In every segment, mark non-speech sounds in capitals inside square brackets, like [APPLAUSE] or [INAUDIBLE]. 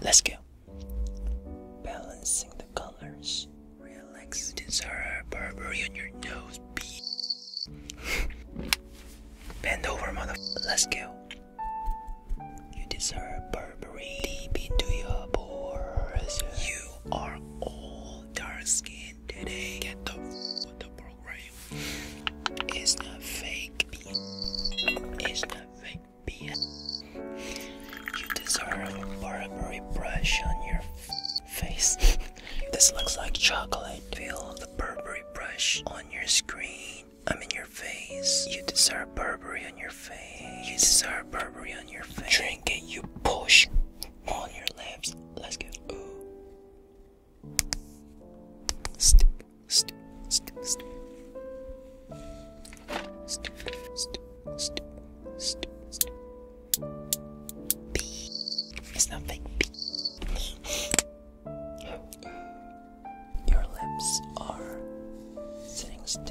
Let's go. Balancing the colors. Relax the Zara Burberry on your nose, [LAUGHS] Bend over, mother. Let's go. You deserve Burberry deep into your pores. You are all dark skinned today. Get the f the it's not fake, it's not fake, You deserve a Burberry brush on your face. this looks like chocolate. Feel the Burberry brush on your screen. I'm in your face. You deserve Burberry on your face. You deserve Burberry on your face. Drink it, you push on your lips. Let's go. Step, step, step, step. Step, step, step, step, It's not fake. Your lips are sitting still.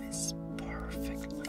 This perfectly.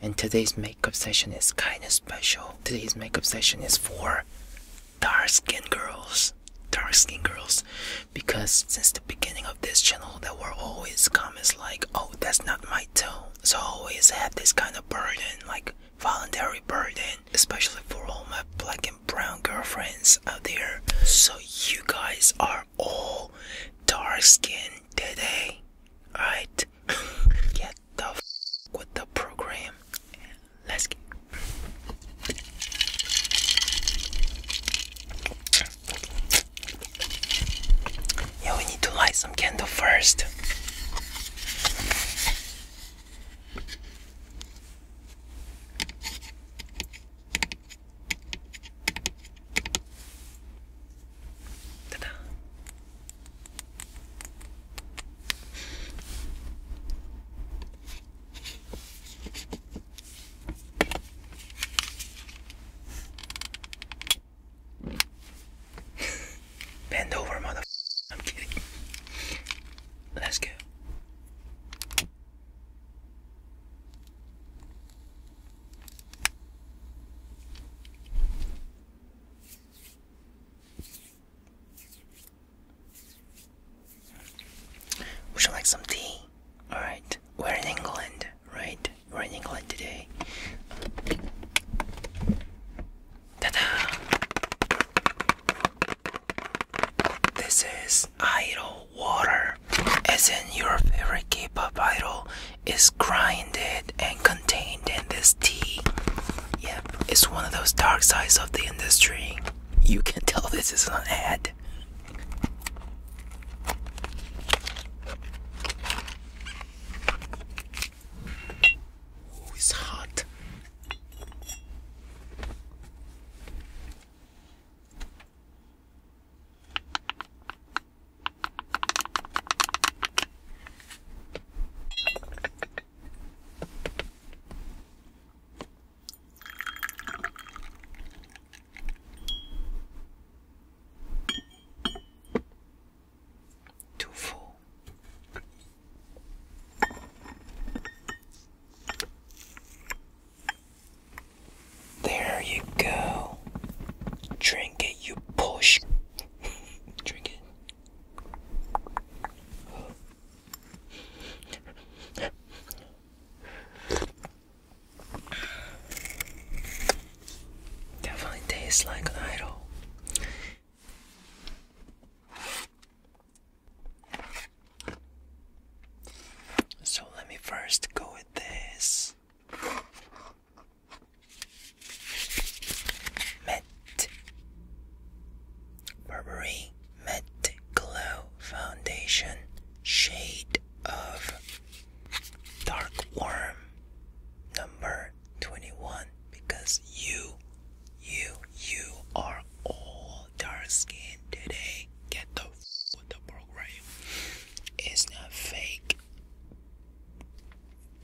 and today's makeup session is kind of special. Today's makeup session is for dark skinned girls. Dark skinned girls, because since the beginning of this channel, there were always comments like, "Oh, that's not my tone." So I always had this kind of burden, like voluntary burden, especially for all my black and brown girlfriends out there. So you guys are all dark skinned today, right? [LAUGHS] yeah, the f with the program. Let's get. Yeah, we need to light some candle first. [LAUGHS] Bend over, mother. I'm kidding. Let's go. Would you like some tea? Alright, we're in England, right? We're in England today. Ta da! This is idle water, as in your favorite K pop idol is grinded and contained in this tea. Yep, it's one of those dark sides of the industry. You can tell this is an ad. Oh, it's hot. Too full. There you go. Drink it, you push. [LAUGHS] Drink it. Definitely tastes like idol. So let me first go with this. Met Burberry Met Glow Foundation Shade of Dark Worm number 21 because you, you, you are all dark skin today. Get the f with the program. It's not fake.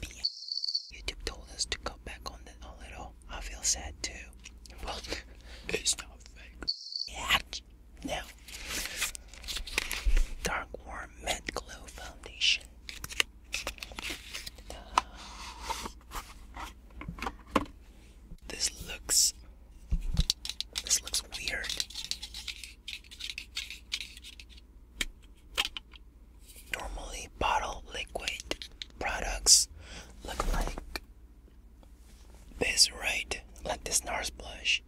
YouTube told us to cut back on that a little. I feel sad too. Well, [LAUGHS] it's not Yeah. Now, Dark Warm Matte Glow Foundation. This looks. This looks weird normally bottle liquid products look like this, right? Like this NARS blush,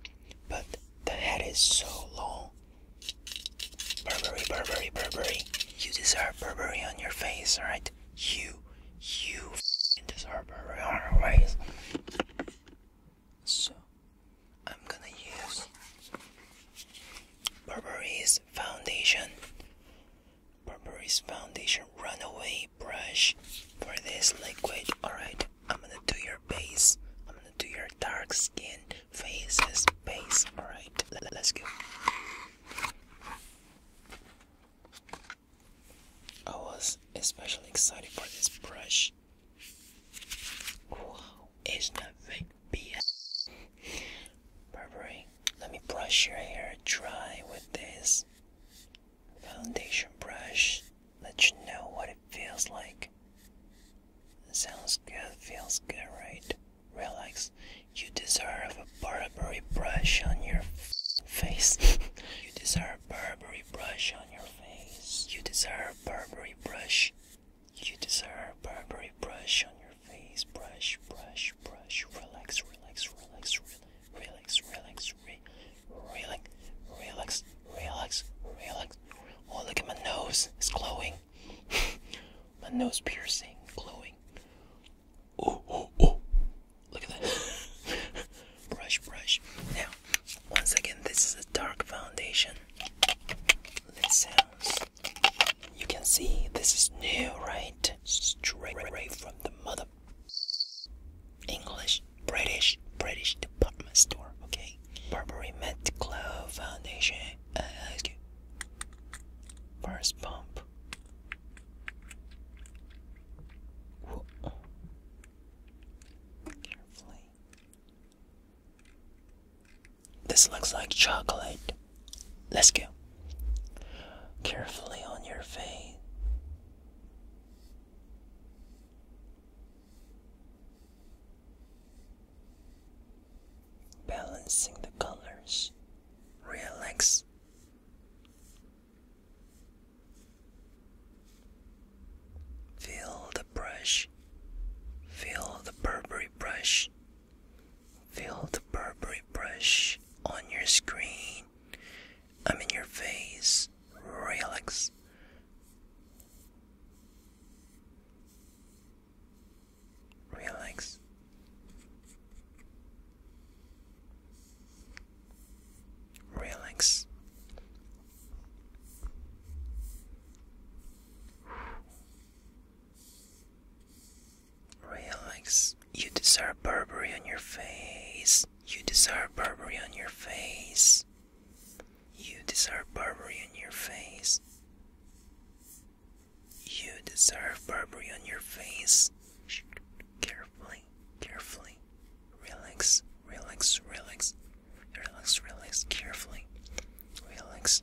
but the head is so long. Burberry, Burberry, Burberry. You deserve Burberry on your face, alright? You, you deserve Burberry on your face. So, I'm gonna use Burberry's foundation. Burberry's foundation runaway brush for this liquid. Alright, I'm gonna do your base. I'm gonna do your dark skin, faces, base. Alright, let's go. I was especially excited for this brush. Wow, it's nothing. BS. Burberry, let me brush your hair dry with this foundation brush. Let you know what it feels like. Sounds good, feels good, right? Relax. You deserve a Burberry [LAUGHS] brush on your face. you deserve a Burberry brush on your face. You deserve a Burberry brush you deserve Burberry brush on your face. Brush, brush, brush. Relax, relax, relax, relax, relax, re relax, relax, relax, relax. Oh, look at my nose. It's glowing. [LAUGHS] my nose piercing, glowing. Oh, oh, oh. Look at that. [LAUGHS] brush, brush. Now, once again, this is a dark foundation. It sounds you can see this is new, right? Straight from the mother. English, British, British department store, okay? Burberry Met Clove Foundation. Uh, First pump. Carefully. This looks like chocolate. Let's go. Carefully on your face. Balancing the colors. Relax. Feel the brush. Feel the Burberry brush Feel the Burberry brush on your screen. I am in your face. Relax. Relax. Relax. Relax. You deserve Burberry on your face. You deserve Burberry on your face. You deserve Burberry on your face. You deserve Burberry on your face. Carefully, carefully. Relax, relax, relax. Relax, relax, carefully. Relax,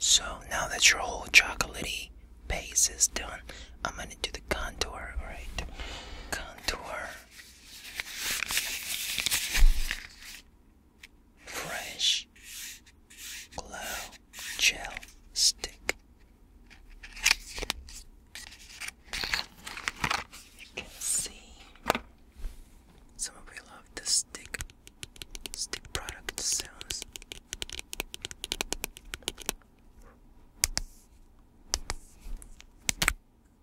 So now that your whole chocolaty base is done, I'm gonna do the contour, alright? Contour. Fresh Glow Gel Stick. You can see some of you love the stick stick product sounds.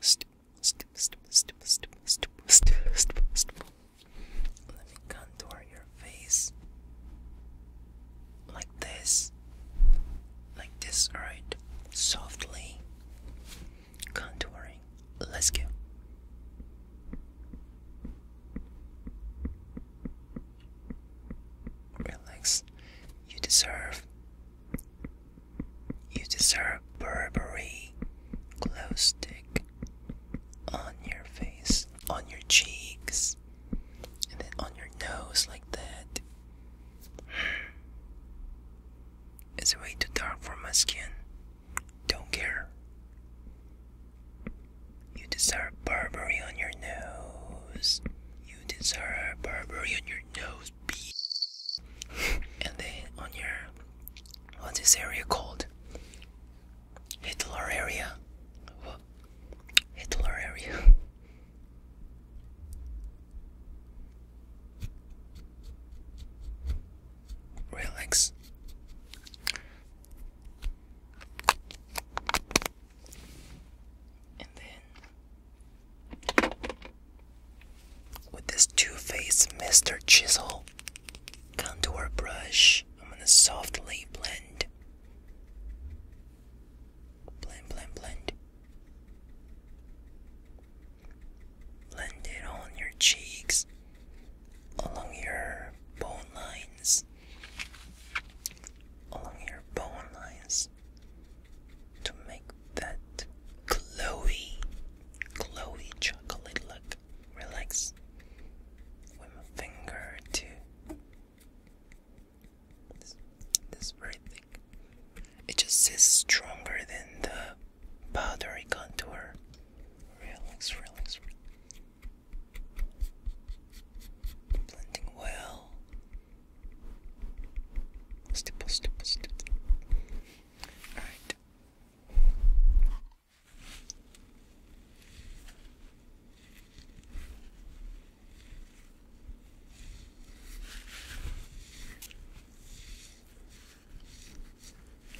stipple, stipple, stipple, stipple, stipple, stipple, stipple, stipple. Let me contour your face like this, like this, alright? Softly contouring. Let's go. Relax. You deserve you deserve Burberry glow stick on your face, on your cheeks, and then on your nose like that. [SIGHS] It's way too dark for my skin. Don't care. You deserve Burberry on your nose. You deserve Burberry on your nose be and then on your what's this area called Hitler area what? Hitler area [LAUGHS] relax and then with this 2 Faced Mr. Chisel contour brush, I'm going to softly blend. Blend, blend, blend. Blend it on your cheeks, along your bone lines, along your bone lines to make that glowy, glowy chocolate look. Relax with my finger too. This, this very thick. It just is stronger than the powdery contour. relax, relax. Blending well Stipple, stipple, stipple. Alright.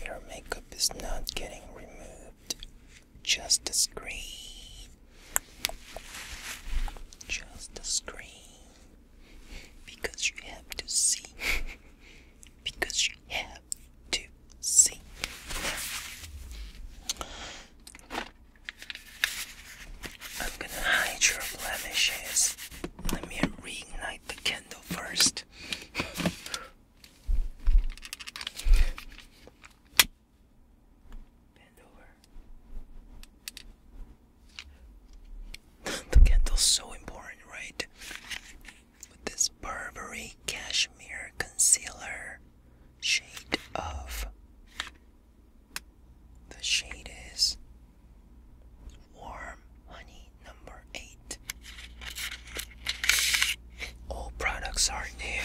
Your makeup is not getting removed. Just a screen. Just the screen because you have to see [LAUGHS] because you have to see I'm gonna hide your blemishes let me reignite the candle first [LAUGHS] the candle's so important, right? With this Burberry Cashmere Concealer shade of. The shade is Warm Honey number 8. All products are new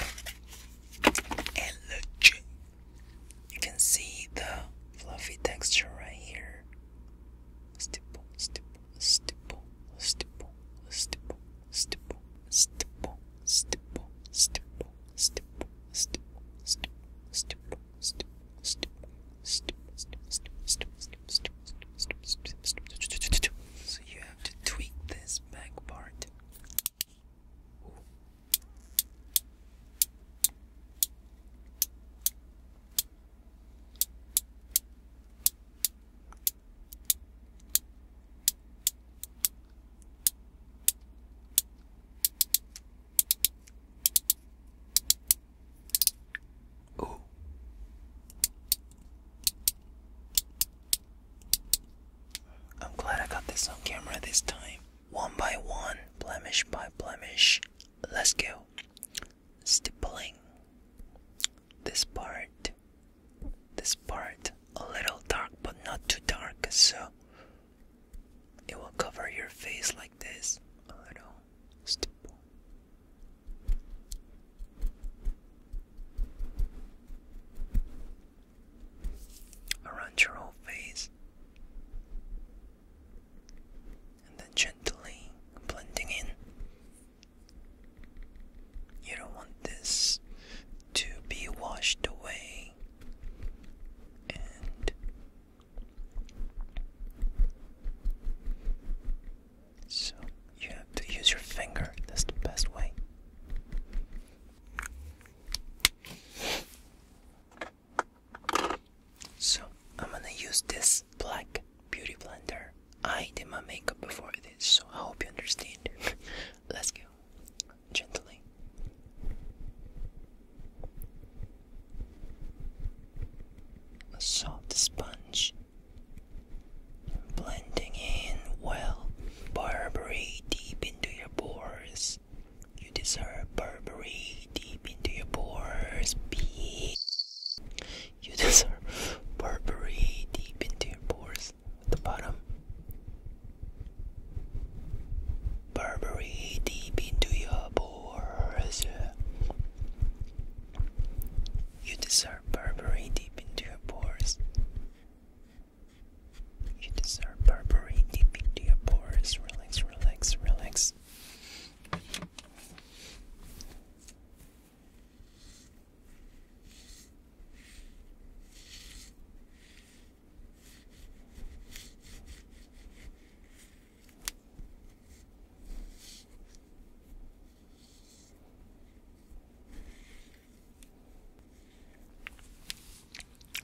and you can see the fluffy texture right here. Stipple, stipple, stipple, stipple, stipple, stipple, stipple, stipple, stipple, stipple, stipple, stipple, stipple, stipple, stipple, so you have to tweak this back part. Ooh, Ooh. I'm glad I got this on camera this time one by one, blemish by blemish. Let's go. Stippling. This part. This part. A little dark, but not too dark, so it will cover your face like this. A little stipple. Around your whole face and then gently blending in. You don't want this to be washed away and so you have to use your finger, that's the best way. So I'm gonna use this black beauty blender. I did my makeup before this, so I hope you understand. [LAUGHS] Let's go gently. soft sponge blending in well Burberry deep into your pores you deserve Burberry deep into your pores. Pee. You deserve Burberry deep into your pores. At the bottom. Burberry deep into your pores. You deserve Burberry deep into your pores. You deserve Burberry. Deep into your pores. Relax, relax, relax.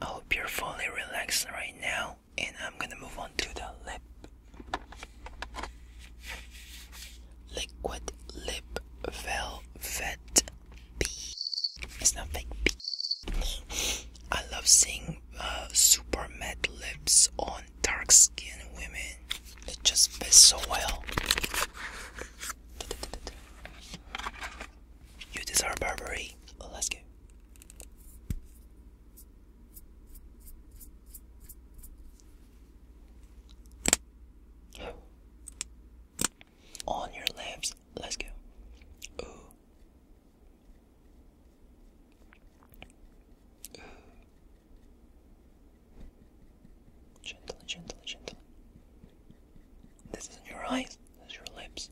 I hope you're fully relaxed right now, and I'm gonna move on to the lip. Liquid lip velvet B. It's not fake B. I love seeing uh, super matte lips on dark skinned women. It just fits so well. You deserve Burberry. Let's go. On your lips. Let's go. Ooh. Ooh. Gently, gently, gently. This is in your eyes. This is your lips.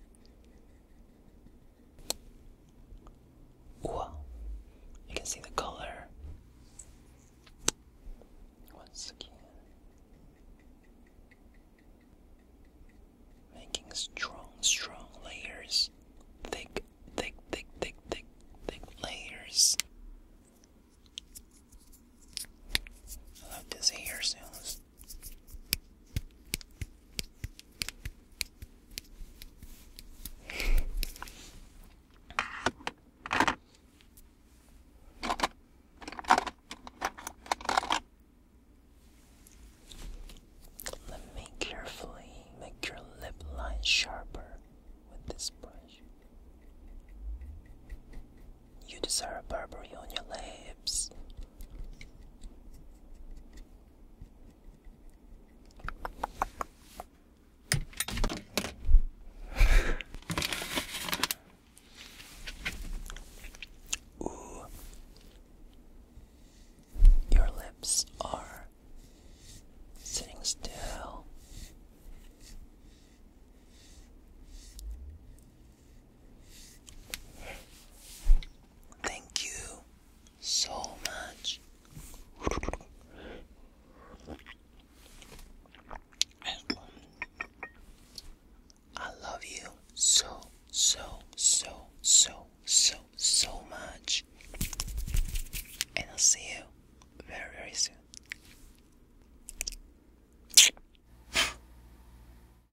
Wow, you can see the color. Once again, making strong, strong layers, thick, thick, thick, thick, thick, layers. I love this hair sounds. Let me carefully make your lip line sharper with this brush. You desire Burberry on your lips, Ooh. Your lips are sitting still. Thank you so much. I love you so, so, so, so, so, so much. And I'll see you very, very soon.